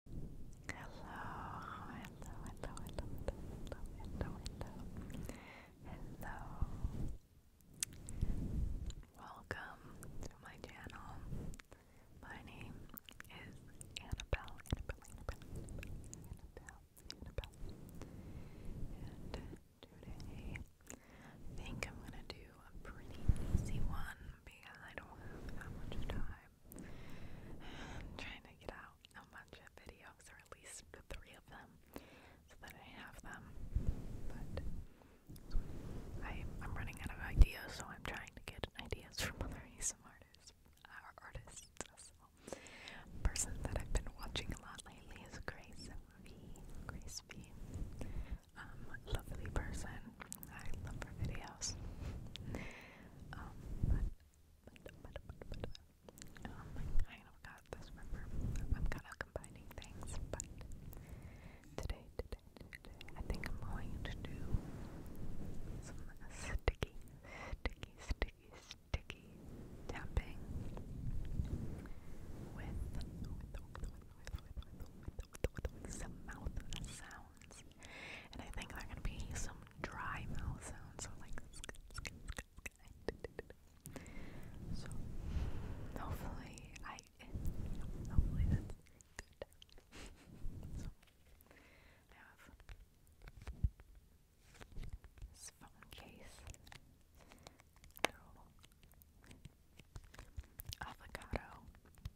hello, hello, hello, hello, hello, hello, hello. Welcome to my channel. My name is Annabelle, Annabelle, Annabelle, Annabelle, And today, I think I'm gonna do a pretty easy one because I don't have that much time. I'm trying to get out a bunch of videos, or at least three of them, so that I have them. But I, am running out of ideas, so I'm trying to get ideas from other ASMR artists. Our uh, artists Person that I've been watching a lot lately is Grace V. Grace V. Um, lovely person. I love her videos. Um, but, um, I kind of got this remember. I'm kind of combining things, but today, today, today, I think I'm going to do some sticky, sticky, sticky, sticky tapping with, with some mouth sounds. And I think they're gonna be some dry mouth sounds, so like so hopefully I hopefully that's good. So I have this phone case. Avocado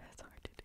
that's hard to do.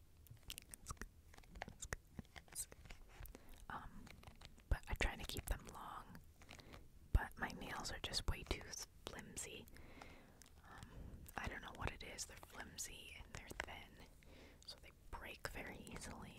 Um, but I try to keep them long, but my nails are just way too flimsy. Um, I don't know what it is, they're flimsy and they're thin, so they break very easily.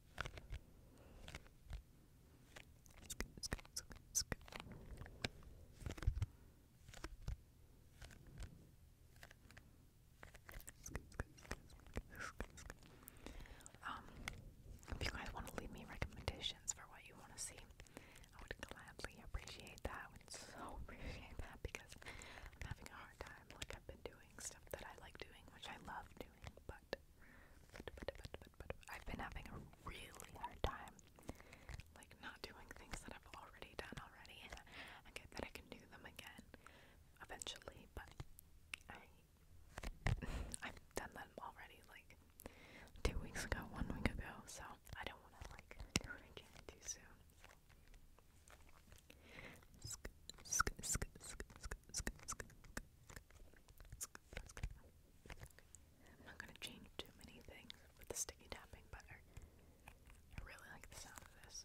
Um, if you guys want to leave me recommendations for what you want to see, I would gladly appreciate that. I would so appreciate that because I'm having a hard time, like I've been doing stuff that I like doing, which I love doing, but I've been having a really hard time, like not doing things that I've already done already. I get that I can do them again eventually, but I've done them already like two weeks ago, one week ago, so I don't want to like do it again too soon. I'm not gonna change too many things with the sticky tapping, but I, really like the sound of this.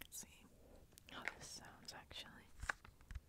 Let's see how this sounds actually.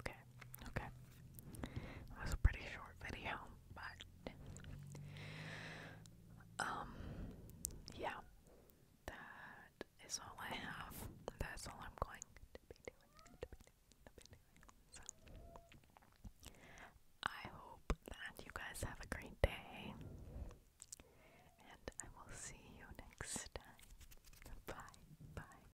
Okay, okay. That was a pretty short video, but um yeah. That is all I have. That's all I'm going to be doing. So I hope that you guys have a great day. And I will see you next time. Bye, bye,